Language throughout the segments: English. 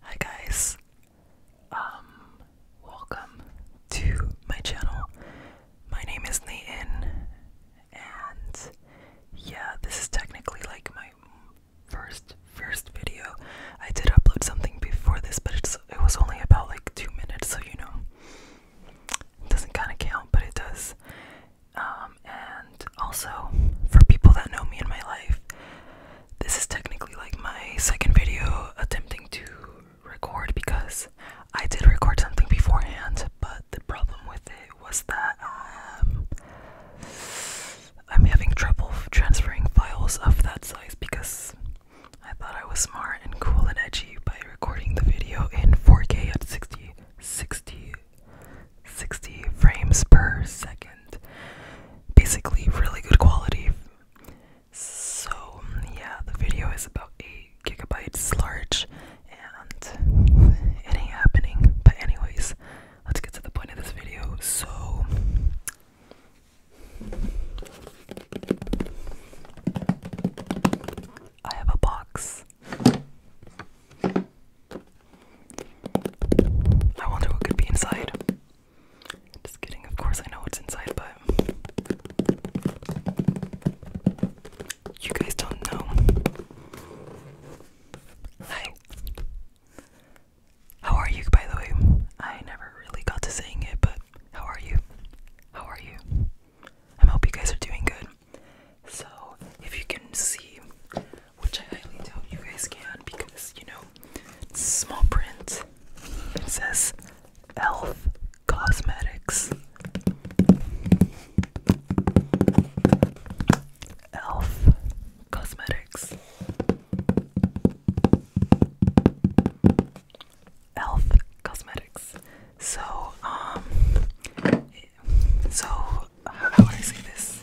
Hi guys. Um, welcome to my channel. My name is Nathan and yeah, this is technically like my first first video. I did upload something before this, but it was only about like 2 minutes, so you know doesn't kind of count, but it does. Um, and also, for people that know me in my life, this is technically like my second video attempting to record because I did record something beforehand, but the problem with it was that um, I'm having trouble transferring files of that size because I thought I was smart and cool and edgy by recording the video in 4K at 60, 60, 60 frames per second. Basically, really good quality. So, yeah, the video is about 8 gigabytes large and it ain't happening. But, anyways, let's get to the point of this video. So, I have a box. I wonder what could be inside. Just kidding, of course I know what's inside, but you guys don't know. Hi. How are you, by the way? I never really got to saying it, but how are you? How are you? I hope you guys are doing good. So, if you can see, which I highly doubt you guys can because you know, small print, it says ELF Cosmetics. ELF Cosmetics. Elf Cosmetics. So, um, so how would I say this?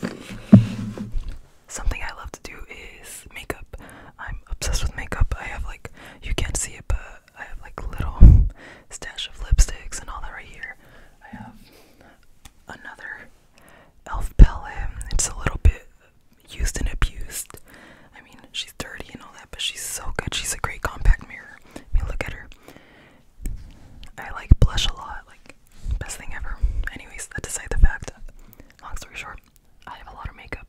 Something I love to do is makeup. I'm obsessed with makeup. I have like, you can't see it, but I have like little stash of lipsticks and all that right here. I have another elf palette. It's a little bit used and abused. I mean, she's dirty and all that, but she's so good. She's a great compact mirror. I mean, look at her. I like blush a lot. Like, best thing ever. Anyways, that aside the fact, long story short, I have a lot of makeup.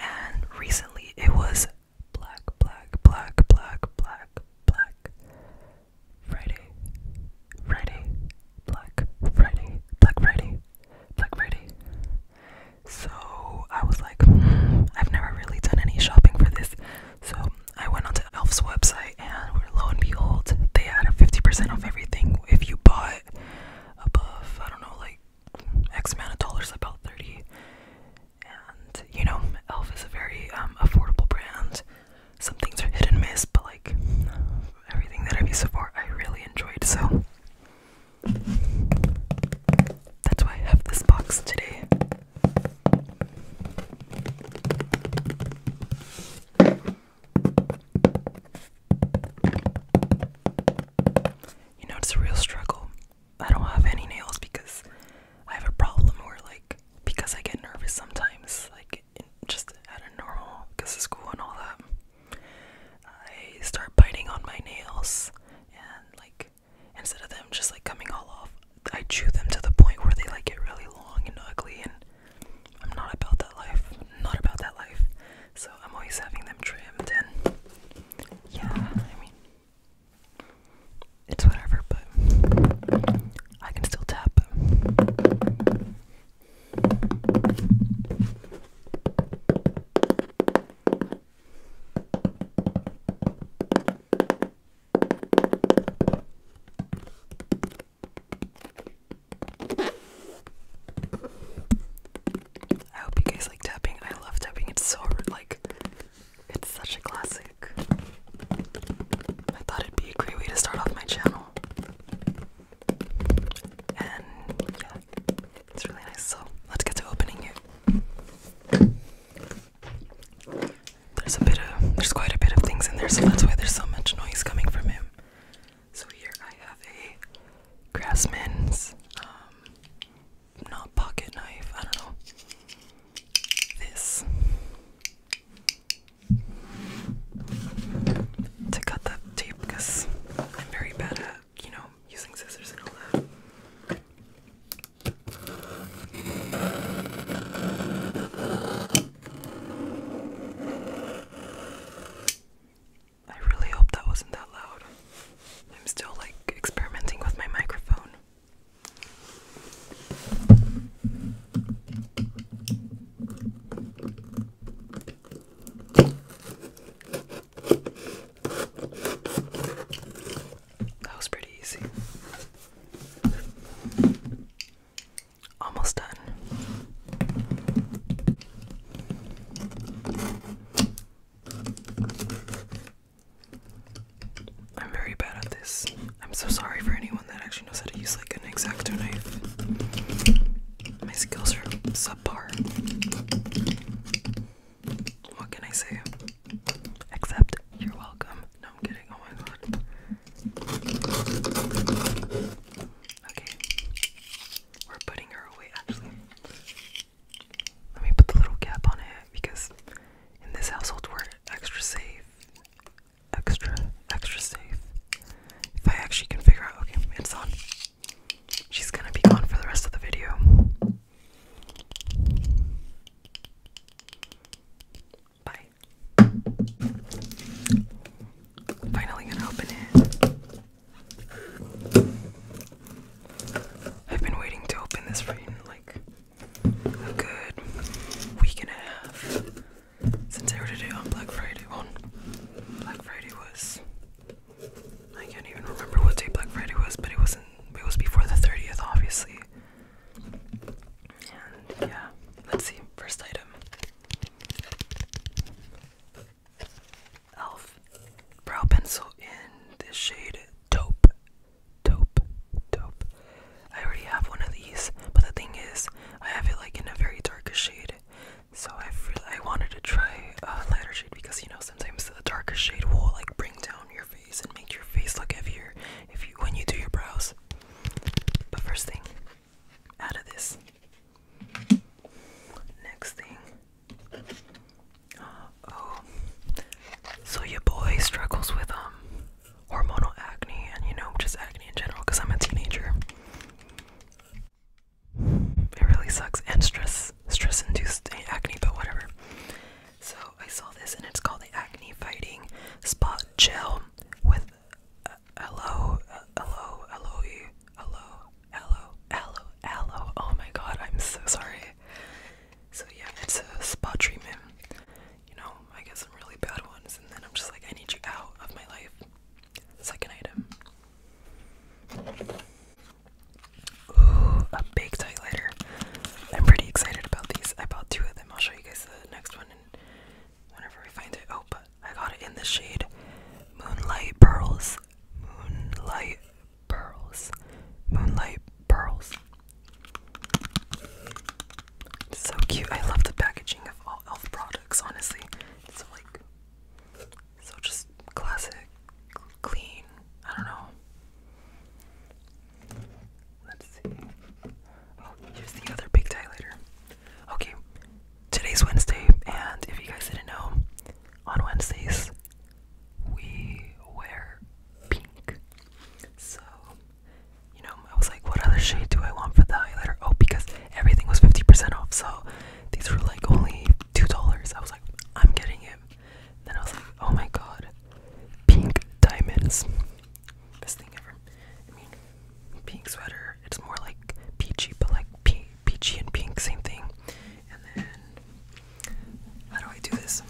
And recently it was black, black, black, black, black, black. Friday. Friday. Black Friday, Black Friday, Black Friday. So I was like, hmm, I've never really done any shopping for this. So I went onto Elf's website, and lo and behold, they had a 50% off everything if you bought above, I don't know, like X amount of dollars, about 30. And you know, Elf is a very um, affordable brand. Some things are hit and miss, but like everything that I've used so far, I really enjoyed. So that's why I have this box today. You know, it's a real struggle. I don't have any nails because I have a problem where, like, because I get nervous sometimes, like, just at a normal, because of school and all that. I start biting on my nails and like instead of them just like coming all off, I chew them to the point where they like get really long and ugly and I'm not about that life. Not about that life. So I'm always having them trimmed and yeah, I mean it's whatever, but I can still tap. I hope you guys like tapping. I love tapping. It's so like it's such a classic. I thought it'd be a great way to start off my channel. And yeah, it's really nice. So let's get to opening it. There's a bit of there's quite a bit of things in there, so that's why there's so much noise coming from him. So here I have a Grassman's um, not pocket knife, I don't know. This to cut that tape because I'm very bad at, you know, using scissors and all that. I really hope that wasn't that loud. I'm still like experimenting with my microphone. That was pretty easy. Almost done. I'm very bad at this. I'm so sorry for anyone that actually knows how to use like an exacto knife. My skills are so what can I say? Except you're welcome. No, I'm kidding. Oh my god. Okay. We're putting her away actually. Let me put the little cap on it because in this household we're extra safe. Extra, extra safe. If I actually can figure out, okay, it's on. She's gonna be gone for the rest of the video. Bye. Finally gonna open it. I've been waiting to open this for like a good week and a half since I ordered it on Black Friday. On Black Friday was I can't even remember what day Black Friday was, but it wasn't. It was before the thirtieth, obviously. And yeah, let's see. First item. Elf brow pencil in the shade Taupe. Taupe. Taupe. I already have one of these, but the thing is, I have it like in a very darkish shade. So I I wanted to try a lighter shade because you know sometimes the darker shade will like bring down your face and make your face look heavier if you when you do your brows. But first thing, out of this. Next thing. Uh, oh, so your boy struggles with um hormonal acne and you know just acne in general because I'm a teenager. It really sucks and stress stress induced acne, but whatever. So I saw this and it's called the acne fighting spot gel with uh, aloe uh, aloe aloe aloe aloe aloe aloe. Oh my god, I'm so sorry. So yeah, it's a spot treatment. You know, I get some really bad ones and then I'm just like I need you out of my life. Second item. Ooh, a big tight I'm pretty excited about these. I bought two of them. I'll show you guys the next one and whenever we find it. Oh, but I got it in the shade Moonlight Pearls. Moonlight Pearls. Moonlight Pearls. So cute. I love the packaging of all e.l.f. products, honestly. It's like so just classic, clean. I don't know. Let's see. Oh, here's the other big dilator. Okay, today's Wednesday, and if you guys didn't know, on Wednesdays we wear pink. So, you know, I was like, what other shade do I want for the highlighter? Oh, because everything was 50% off, so these were like only two dollars. I was like, I'm getting it. Then I was like, oh my god, pink diamonds, best thing ever. I mean, pink sweater. It's more like peachy, but like peachy and pink, same thing. And then, how do I do this?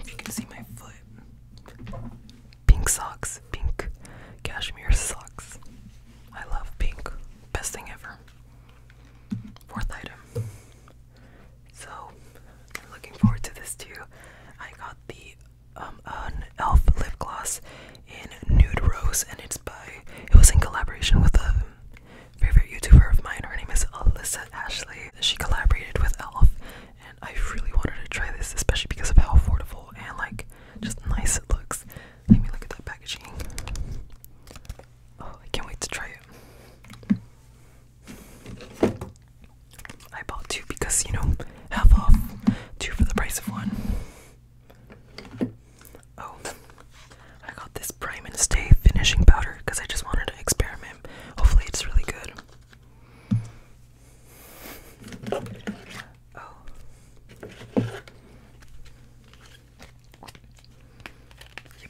If you can see my foot, pink socks, pink cashmere socks. I love pink. Best thing ever. Fourth item. So, I'm looking forward to this too. I got the um, elf lip gloss in nude rose, and it's by. It was in collaboration with a favorite YouTuber of mine. Her name is Alyssa Ashley. She collaborated with Elf, and I really wanted to try this, especially because of how affordable and like just nice it looks. Let me look at that packaging. Oh, I can't wait to try it. I bought two because, you know, half off, two for the price of one. Oh, I got this Prime and Stay finishing powder because I just wanted to experiment. Hopefully, it's really good. Oh. Your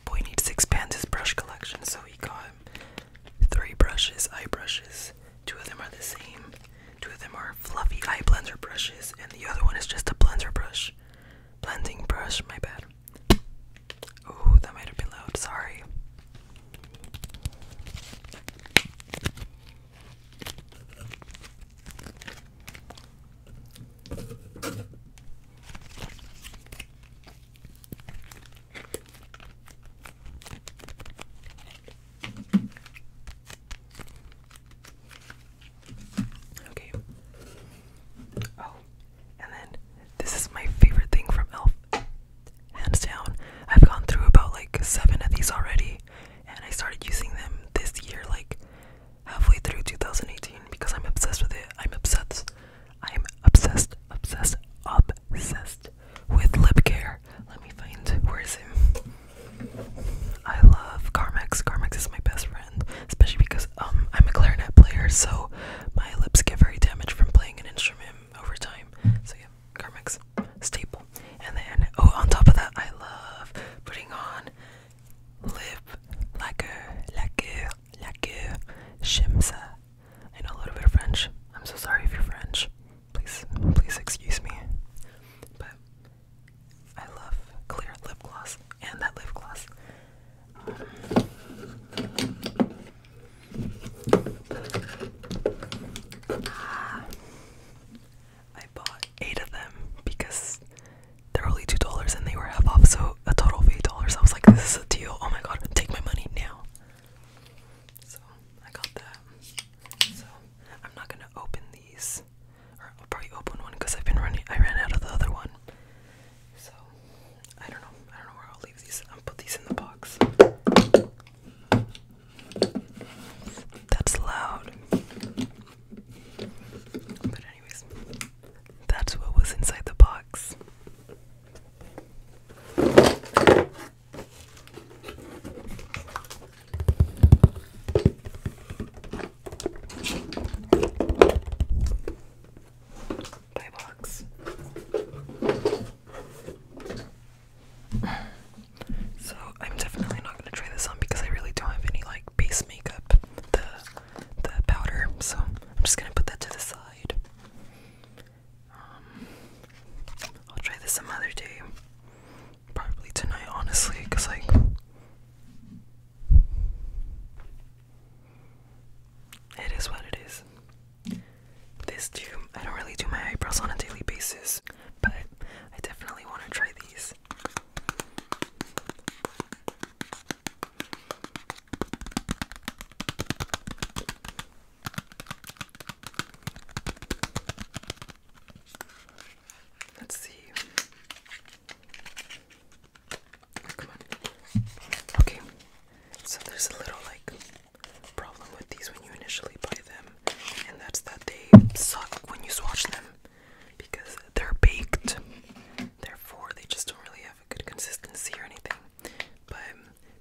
boy needs to expand his brush collection, so he got three brushes, eye brushes. Two of them are the same. Two of them are fluffy eye blender brushes, and the other one is just a blender brush. Blending brush, my bad. Oh, that might have been loud, sorry. Okay. Oh, and then this is my favorite thing from Elf. Hands down. I've gone through about like seven of these already and I started using them this year, like halfway through 2018, because I'm obsessed with it. I'm obsessed. I'm obsessed, obsessed, obsessed with lip care. Let me find where is him. I love Carmex. Carmex is my best friend, especially because um I'm a clarinet player, so my lips get very damaged from playing an instrument over time. So yeah, Carmex staple. And then, oh, on top of that, I love putting on lip lacquer, lacquer, lacquer, shimsa. I know a little bit of French. I'm so sorry if you're French. Please, please excuse me. But I love clear lip gloss and that lip gloss. Ah. I bought eight of them because they're only two dollars and they were half off, so a total of eight dollars. I was like, this is a deal. Oh my god, take my money now. So I got that. So I'm not gonna open these, or I'll probably open one because I've been running. I ran out of the other one. So I don't know. I don't know where I'll leave these. I'll put these in the box. That's loud. But, anyways, that's what was inside the box. Bye box. So I'm definitely not gonna try this on because I really don't have any like base makeup, the the powder. So I'm just gonna put that to the side. Um, I'll try this some other day, probably tonight, honestly, because like. It is what it is. This too, I don't really do my eyebrows on a daily basis, but I definitely want to try these these. Let's see. Okay. So there's a little like problem with these when you initially buy them and that's that they suck when you swatch them because they're baked. Therefore, they just don't really have a good consistency or anything. But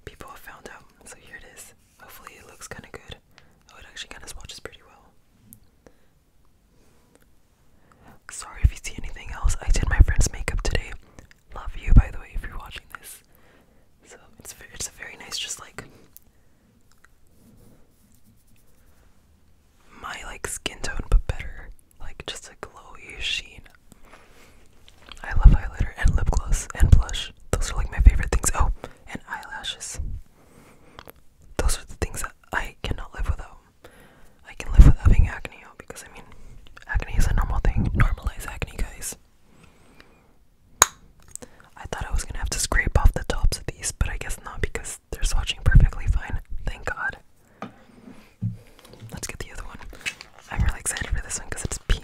people have found out, so here it is. Hopefully, it looks kind of good. Oh, it actually kind of swatches pretty well. Sorry if you see anything else. I did my friend's makeup today. Love you, by the way, if you're watching this. So it's it's a very nice, just like my like skin tone but better like just a glowy sheen i love highlighter and lip gloss and blush those are like my favorite things oh and eyelashes those are the things that i cannot live without i can live with having acne because i mean acne is a normal thing normalize acne guys I thought I was gonna have to scrape off the tops of these, but I guess not because they're swatching perfectly fine. Thank God. Let's get the other one. I'm really excited for this one because it's pink.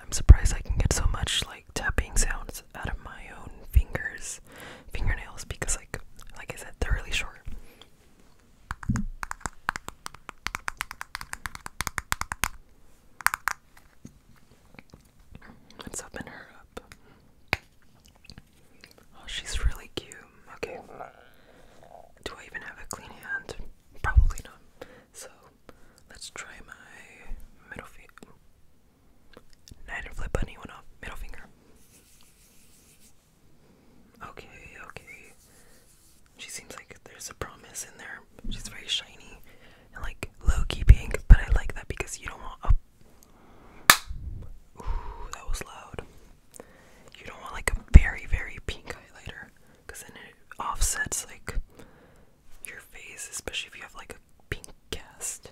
I'm surprised I can get so much like tapping sounds out of my own fingers, fingernails, because like, like I said, they're really short. Let's open her up. Oh, she's really cute. Okay. Do I even have a clean hand? Probably not. So let's try my middle finger. Nine flip bunny went off. Middle finger. Okay, okay. She seems like there's a promise in there. She's very shiny and like low key pink, but I like that because you don't want a. Ooh, that was loud. You don't want like a very, very pink highlighter because then it offsets like your face, especially if you have like a pink cast.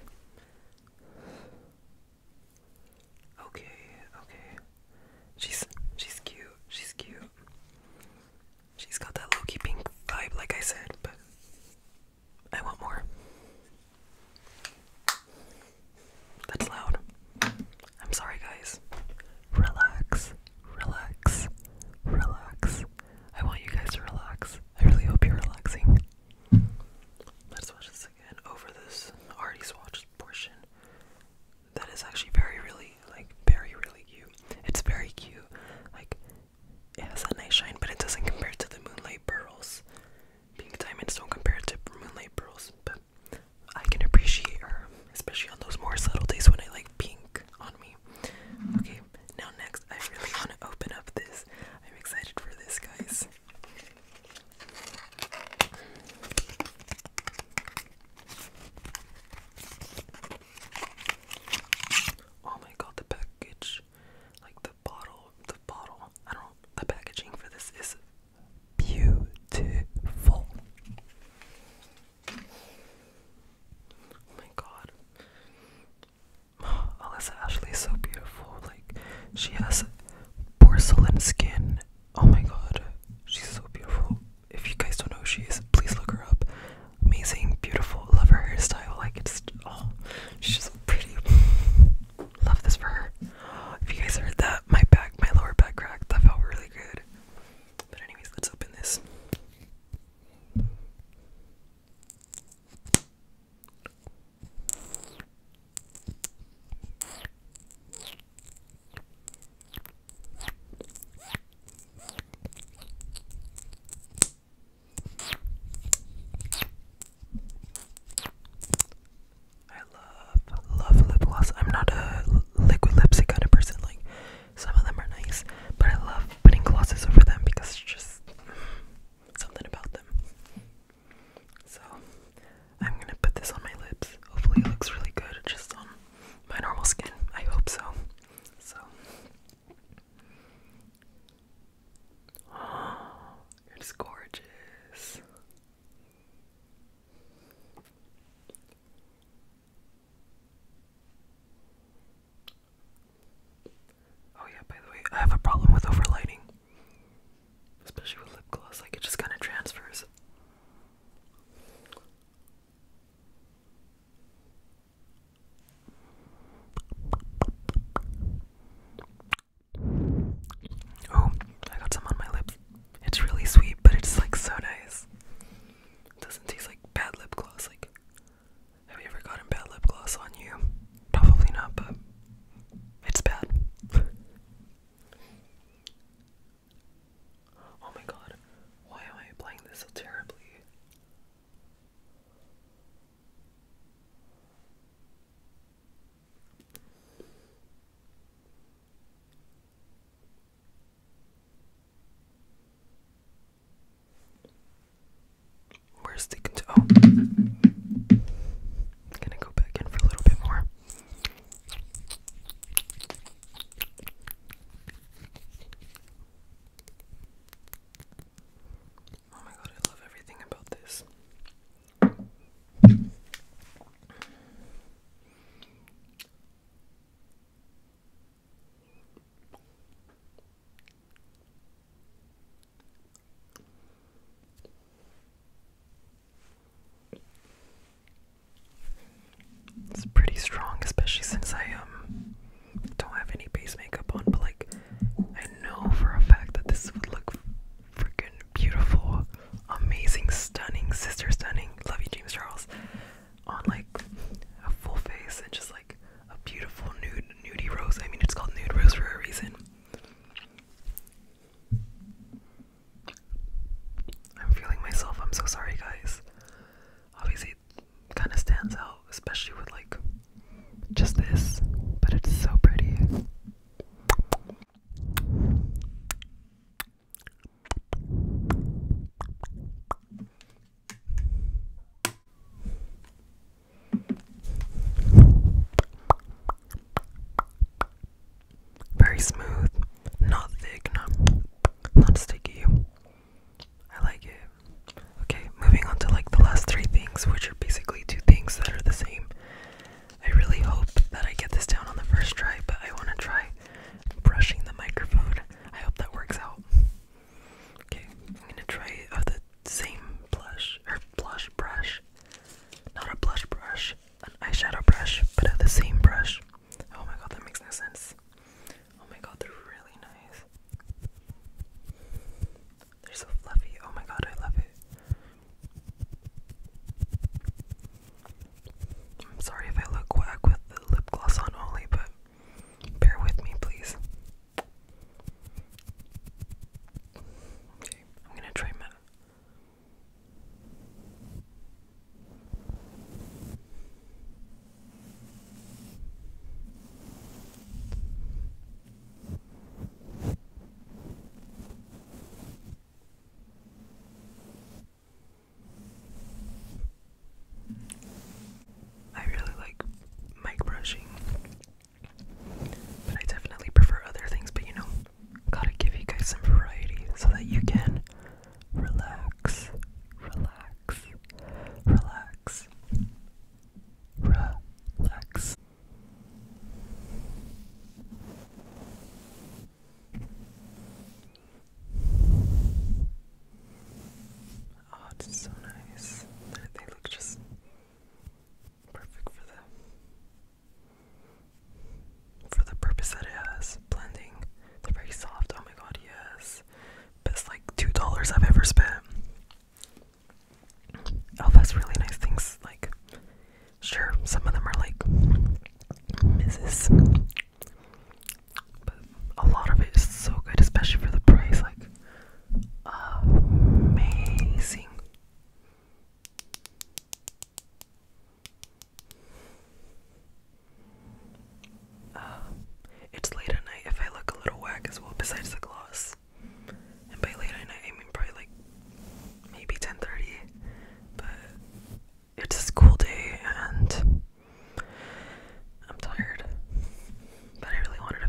Okay, okay. She's she's cute. She's cute. She's got that low-key pink vibe, like I said, but I want more. That's loud. I'm sorry, guys. Relax, relax, relax. I want you guys to relax. I really hope you're relaxing. Let's watch this again over this already swatched portion. That is actually very, really, like, very, really cute. It's very cute. Like, it has a nice shine, but it doesn't compare to the Moonlight Pearls. Being diamonds don't compare to Moonlight Pearls, but I can appreciate her, especially on those more subtle days when I like pink on me. Okay, now next, I really want to open up this. I'm excited for this, guys. Oh my god, the package, like the bottle, the bottle. I don't. know The packaging for this is beautiful. Oh my god. Alyssa Ashley is so beautiful. Like, she has porcelain skin. Oh my god. She's so beautiful. If you guys don't know who she is, please look her up. Amazing, beautiful. Love her hairstyle. Like, it's. Oh, she's so pretty. Love this for her. If you guys heard that, my back, my lower back cracked. That felt really good. But anyways, let's open this. I love, love lip gloss. I'm not a liquid lipstick kind of person. Like, some of them are nice, but I love putting glosses over them because just something about them. So, I'm gonna put this on my lips. Hopefully, it looks really good just on my normal skin. I hope so. So, it's gorgeous. Oh yeah, by the way, I have a problem with overlighting. Especially with lip gloss, like it just kind of transfers. Oh, I got some on my lips. It's really sweet, but it's like so nice. It doesn't taste like bad lip gloss. Like, have you ever gotten bad lip gloss on you? Probably not, but it's bad. oh my god, why am I applying this so terribly? Where's the cont- gonna oh. go back in for a little bit more. Oh my god, I love everything about this. It's pretty strong, especially since I um don't have any base makeup on, but like I know for a fact that this would look freaking beautiful, amazing, stunning, sister stunning. Love you, James Charles. On like a full face and just like a beautiful nude nudie rose. I mean, it's called nude rose for a reason. I'm feeling myself. I'm so sorry, guys. Obviously, kind of stands out, especially with like just this, but it's so pretty. Very smooth, not thick, not not sticky. I like it. Okay, moving on to like the last three things, which are basically two things that are the same. I really hope that I get this down on the first try, but I want to try brushing the microphone. I hope that works out. Okay, I'm gonna try the same blush or blush brush, not a blush brush, an eyeshadow brush, but of the same brush. Oh my god, that makes no sense. Oh my god, they're really nice. They're so fluffy. Oh my god, I love it. I'm sorry if I look whack with the lip gloss on only, but bear with me, please. Okay, I'm gonna try my. I really like mic brushing, but I definitely prefer other things. But you know, gotta give you guys some variety so that you can relax, relax, relax, relax. Oh, it's so nice. They look just perfect for the for the purpose that it has. Blending. They're very soft. Oh my god, yes. Best like two dollars I've ever spent. Elf oh, has really nice things like Sure, some of them are like Mrs. But a lot of it is so good, especially for the price. Like, amazing. Uh, it's late at night if I look a little whack as well, besides the gloss. And by late at night, I mean probably maybe 10:30, but it's a school day and I'm tired. But I really wanted to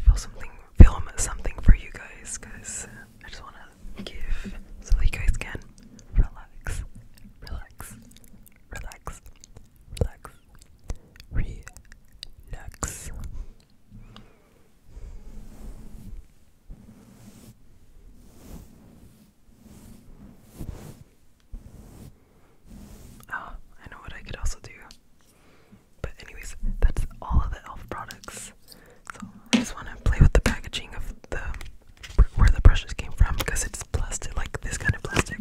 film something for you guys, because I just want to give so you guys can relax, relax, relax, relax, relax. Oh, I know what I could also do. But anyways, that's all of the elf products. So I just want to play with the packaging of the where the brushes came from because it's plastic, like this kind of plastic.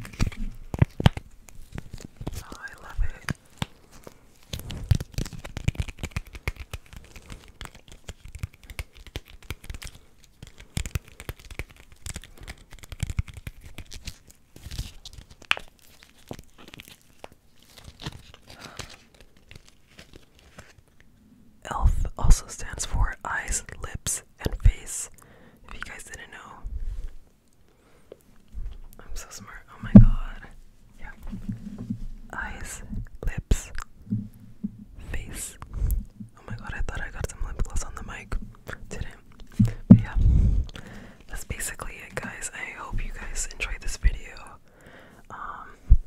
Oh, I love it. Elf also stands for eyes, lips, and face. If you guys didn't know, I'm so smart. Oh my god. Yeah. Eyes, lips, face. Oh my god, I thought I got some lip gloss on the mic. Didn't. yeah, that's basically it, guys. I hope you guys enjoyed this video. Um,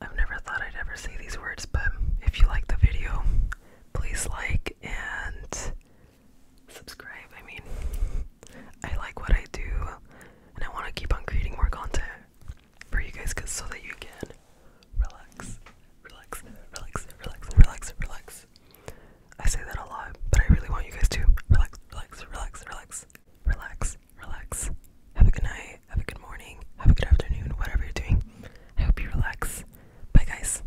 I've never thought I'd ever say these words, but if you like the video, please like and subscribe. I mean, I like what I do and I want to keep on creating more content for you guys cause so that you can relax, relax, relax, relax, relax, relax. I say that a lot, but I really want you guys to relax, relax, relax, relax, relax, relax. Have a good night, have a good morning, have a good afternoon, whatever you're doing. I hope you relax. Bye guys.